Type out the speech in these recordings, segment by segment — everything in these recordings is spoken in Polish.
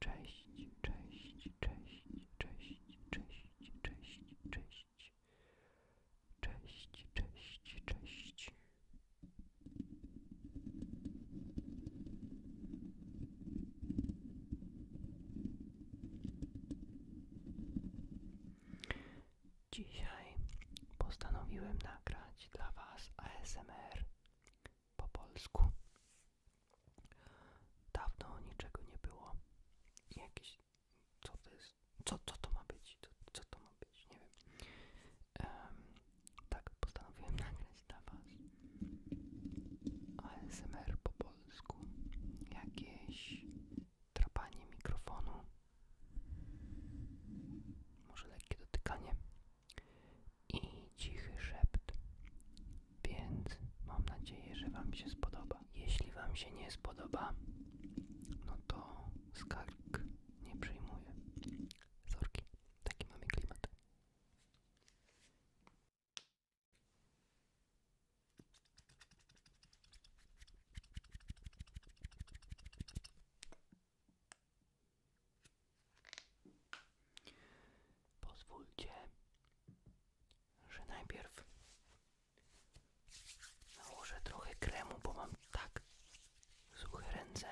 Cześć, cześć, cześć, cześć, cześć, cześć, cześć. Dzisiaj postanowiłem nagrać dla Was ASMR po polsku. Dawno niczego nie było. jakieś. Co to jest? Co, co to ma być? Co, to ma być? Nie wiem. tak, postanowiłem nagrać dla Was ASMR po polsku. Jakieś trapanie mikrofonu. Może lekkie dotykanie i cichy szept. Więc mam nadzieję, że Wam się spodoba. Jeśli Wam się nie spodoba, no to skarg nie przyjmuję. Zorki, taki mamy Pozwólcie, że najpierw nałożę trochę kremu, bo mam tak suche ręce,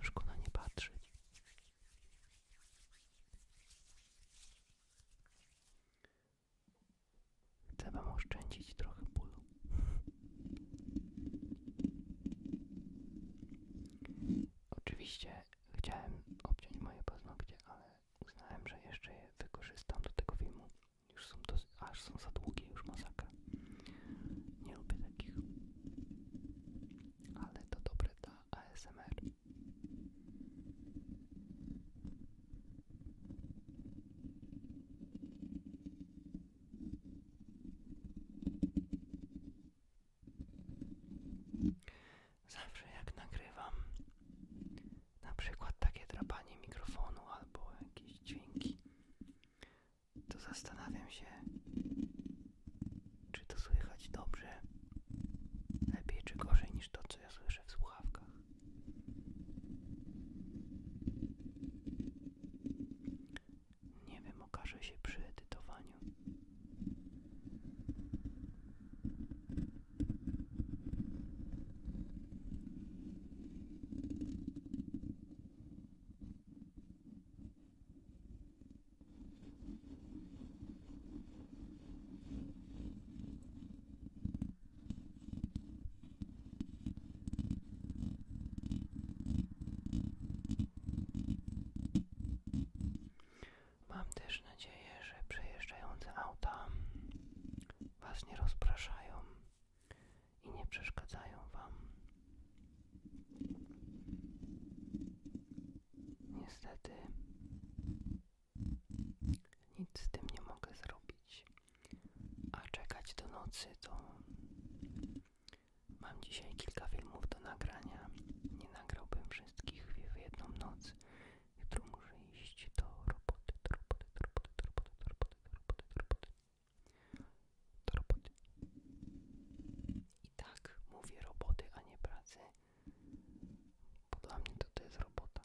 że na nie patrzeć. Chcę Wam oszczędzić trochę bólu. Oczywiście chciałem obciąć moje paznokcie, ale uznałem, że jeszcze je wykorzystam do tego filmu. Już są dosyć, aż są za długie, już masakra. Nie lubię takich. Ale to dobre dla ASMR. Zawsze jak nagrywam na przykład takie drapanie mikrofonu albo jakieś dźwięki, to zastanawiam się, czy to słychać dobrze, lepiej czy gorzej niż to, co ja słyszę w słuchawkach. Nie wiem, okaże się przy edytowaniu. Mam też nadzieję, że przejeżdżające auta Was nie rozpraszają i nie przeszkadzają Wam. Niestety nic z tym nie mogę zrobić. A czekać do nocy to. Mam dzisiaj kilka filmów do nagrania. Nie nagrałbym wszystkich w jedną noc. Jutro muszę iść do roboty, do roboty, do roboty, do roboty, do roboty, I tak mówię roboty, a nie pracy. Bo dla mnie to, to jest robota.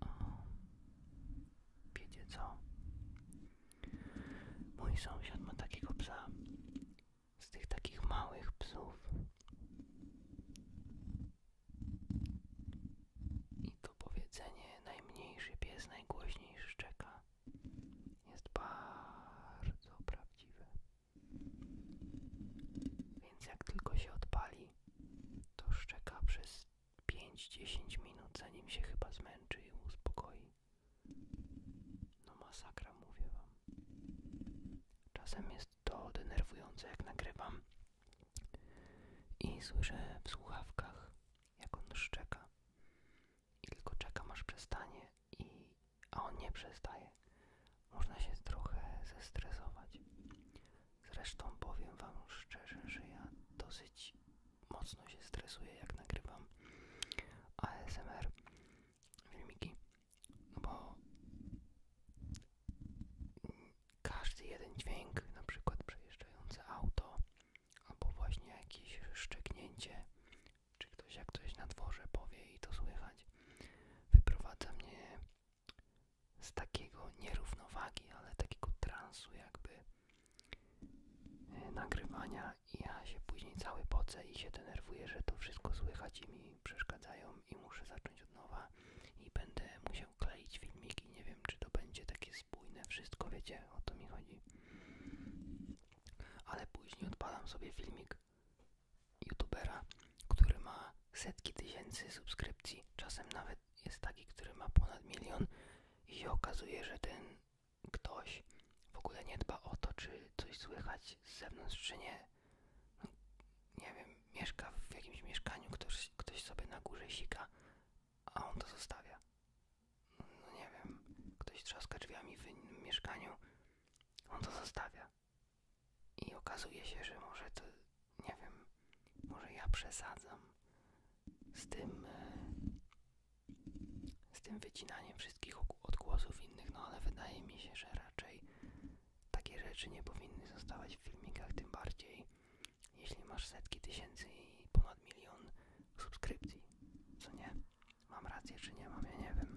O, wiecie co? Mój sąsiad ma takiego psa, z tych takich małych psów. I to powiedzenie najmniejszy pies najgłośniejszy szczeka jest bardzo prawdziwe. Więc jak tylko się odpali, to szczeka przez 5-10 minut, zanim się chyba zmęczy i uspokoi. No masakra, mówię wam. Czasem jest to denerwujące, jak nagrywam i słyszę w słuchawkach, jak on szczeka. I tylko czekam, aż przestanie, i... a on nie przestaje. Można się trochę zestresować. Zresztą powiem wam szczerze, że ja dosyć mocno się stresuję, jak nagrywam ASMR filmiki, no bo każdy jeden dźwięk, na przykład przejeżdżające auto, albo właśnie jakieś szczeknięcie, czy ktoś jak ktoś na dworze powie i to słychać, wyprowadza mnie z takiego nierównowagi, ale takiego transu jakby e, nagrywania i ja się później cały pocę i się denerwuję, że to wszystko słychać i mi przeszkadzają i muszę zacząć od nowa i będę musiał kleić filmiki. Nie wiem, czy to będzie takie spójne wszystko, wiecie, o to mi chodzi. Ale później odpalam sobie filmik youtubera, który ma setki tysięcy subskrypcji, czasem nawet jest taki, który ma ponad milion i się okazuje, że ten ktoś w ogóle nie dba o to, czy coś słychać z zewnątrz, czy nie. No, nie wiem, mieszka w jakimś mieszkaniu, ktoś, ktoś sobie na górze sika, a on to zostawia. No nie wiem, ktoś trzaska drzwiami w innym mieszkaniu, on to zostawia. I okazuje się, że może to, nie wiem, może ja przesadzam z tym, e, z tym wycinaniem wszystkich odgłosów innych, no ale wydaje mi się, że raczej takie rzeczy nie powinny zostawać w filmikach, tym bardziej jeśli masz setki tysięcy i ponad milion subskrypcji, co nie? Mam rację czy nie mam, ja nie wiem.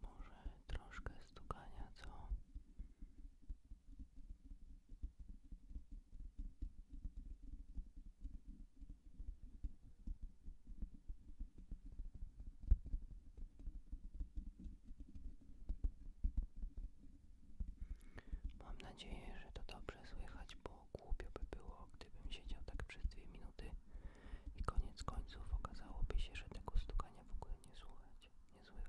Może troszkę stukania, co? Mam nadzieję, że to dobrze słychać, bo głupio by było, gdybym siedział tak przez dwie minuty i koniec końców okazałoby się, że tego stukania w ogóle nie słuchać, nie słychać.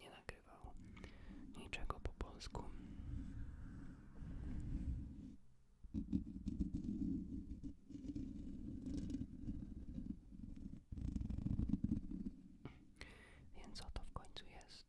nie nagrywał niczego po polsku. Więc to w końcu jest?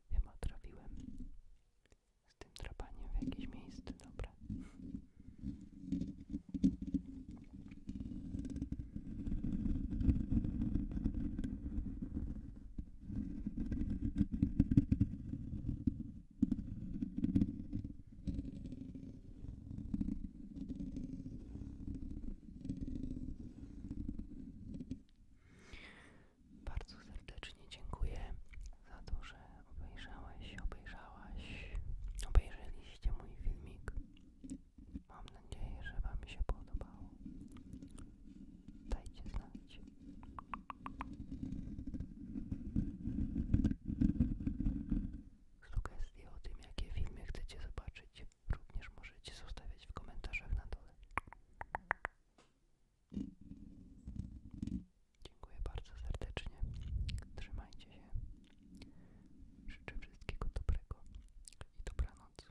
Ja trafiłem z tym drapaniem w jakieś miejsce dobre. Bardzo serdecznie dziękuję za to, że obejrzałeś, obejrzałaś, obejrzeliście mój filmik. Mam nadzieję, że Wam się podobało. Dajcie znać. Sugestie o tym, jakie filmy chcecie zobaczyć również możecie zostawiać w komentarzach na dole. Dziękuję bardzo serdecznie. Trzymajcie się. Życzę wszystkiego dobrego i dobranoc.